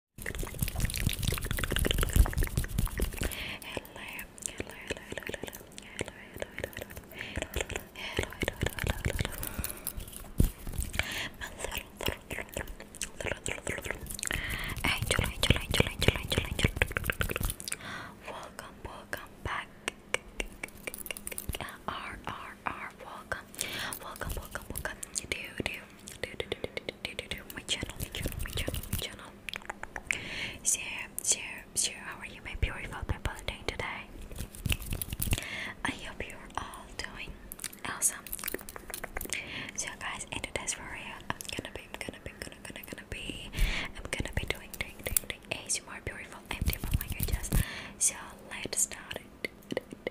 Welcome, welcome back. R R R welcome. Welcome, welcome, welcome. Do do do do do do my channel, my channel, my channel, my channel. Share, share, share. How are you, my beautiful people, doing today? I hope you're all doing awesome. So, guys, in today's video, I'm gonna be, I'm gonna be, I'm gonna, gonna, gonna be, I'm gonna be doing, doing, doing, doing ASMR beautiful empty oh my languages. So, let's start it.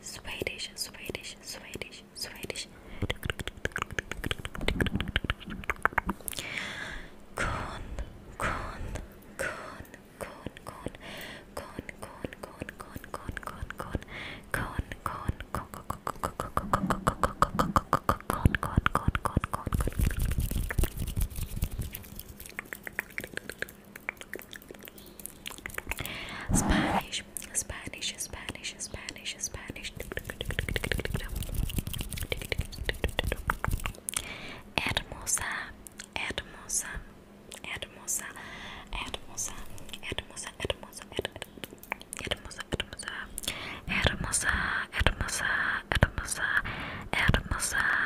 Swedish, Swedish, Swedish, Swedish. Kon, kon, kon, kon, kon, kon, kon, kon, kon, kon, kon, kon, kon, kon, kon, kon, Spanish, Spanish, Spanish, Spanish, Spanish. Hermosa, hermosa, hermosa, hermosa, hermosa, hermosa, hermosa, hermosa, hermosa, hermosa, hermosa, hermosa.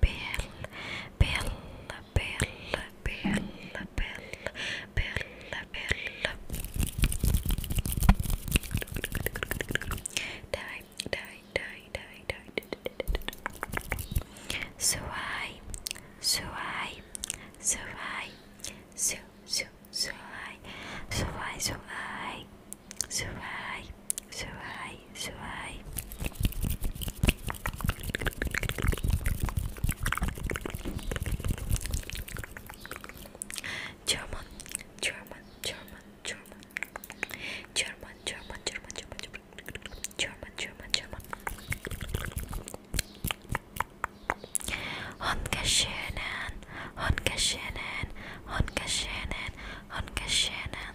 Bill, Bill, Bill, Bill, Bill, Bill. Die, die, die, die, die. So I, so I, so I, so so so I, so I, so I, so I, so high, so high. German, German, German, German, German, German, German, German, German, German, German. Honka Shannon, Honka Shannon, Honka Shannon, Honka Shannon,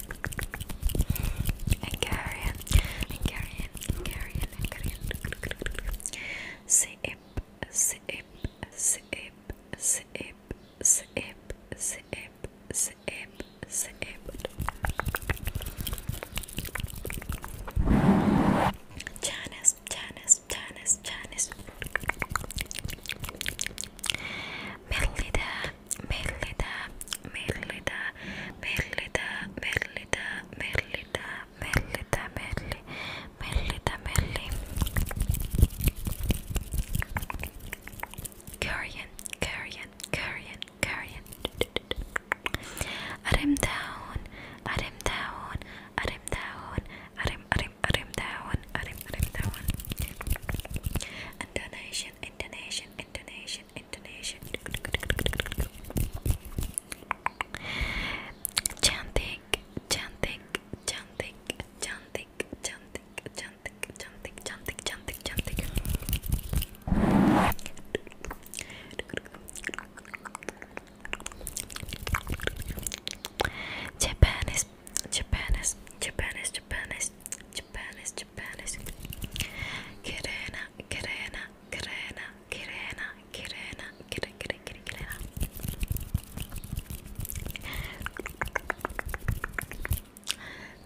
Hungarian, Hungarian, Hungarian, Hungarian. Sip, sip, sip, sip, sip, sip, sip, sip. Janice, Janice, Janice, Janice. Millida, Merlita, Merlita, Merlita, Merlita, Merlita, Merlita, Merli, Merlita, Merli. Korean, Korean, Korean, Korean. Arim down, arim down, arim down, arim, arim, arim down, arim, arim down. And donation intonation, intonation, intonation. Chanting, chanting, chanting, chanting, chanting, chanting, chanting, chanting, chanting, chanting. Japan is, Japan is, Japan is, Japanese, Japanese. Kirena, Kirena, Kirena, Kirena, Kirena, Kirena, Kirena, Kirena.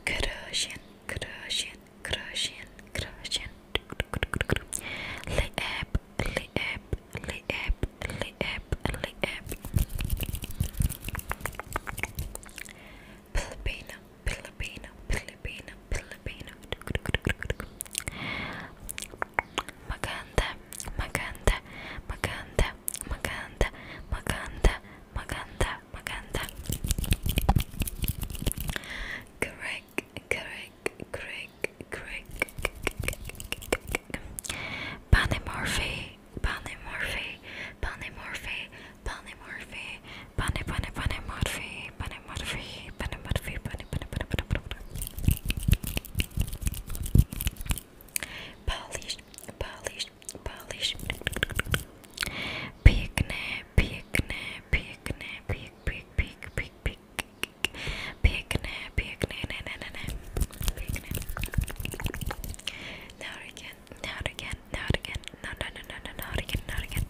Croatian, Croatian, Croatian, Croatian. Liep, liep, liep, liep, liep. Filipino, Filipino, Filipino, Filipino. Maganda, maganda, maganda, maganda, maganda, maganda, maganda. Correct, correct, correct, correct. Panamorphe, Panamorphe, Panamorphe, polymorphy, poly, poly, polymorphy, polymorphy, polymorphy, poly, poly, poly, poly, poly, poly. Polish, polish, polish. Piękne, piękne, piękne, pięk, pięk, pięk, pięk, pięk. Piękne, piękne, ne, ne, ne, ne. Piękne. Now we can not again, not again, no, no, no, no, no, not again, not again.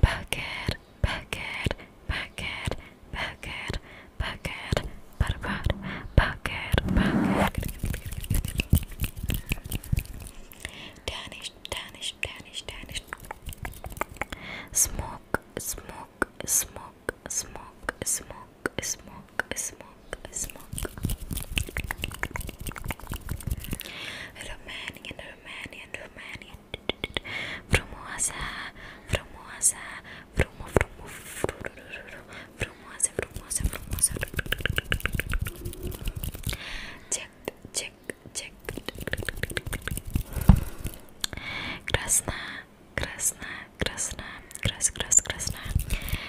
Bucket, bucket, bucket, bucket, bucket, butter, butter, bucket, bucket. Danish, Danish, Danish, Danish. Smoke, smoke, smoke, smoke, smoke, smoke, smoke. smoke Romanian Romanian Romanian Frumoasa Frumoasa Frumo Frumo Frumoasa Frumoasa Frumoasa Check check check Krasna Krasna Krasna Kras Kras Krasna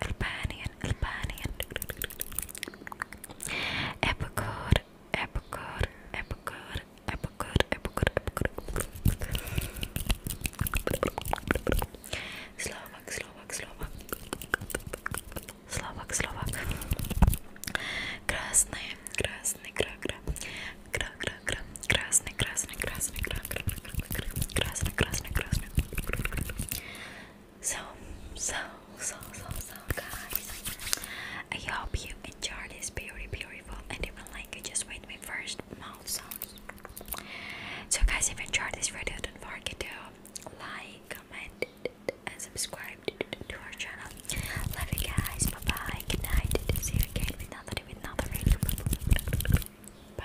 Albanian, Albanian. Epicode, epicode, epicode, epicode, epicode, epicode. Slovak, Slovak, Slovak. Slovak, Slovak. Красный, красный, кра, кра. Кра, кра, кра. Красный, красный, красный, кра, кра. So, so, so, so, so, guys. I hope you enjoyed this very beautiful and even like just made my first mouth sounds. So, guys, if you enjoyed this video, don't forget to like, comment, and subscribe to our channel. Love you guys. Bye bye. Good night. See you again with another with another video. Bye.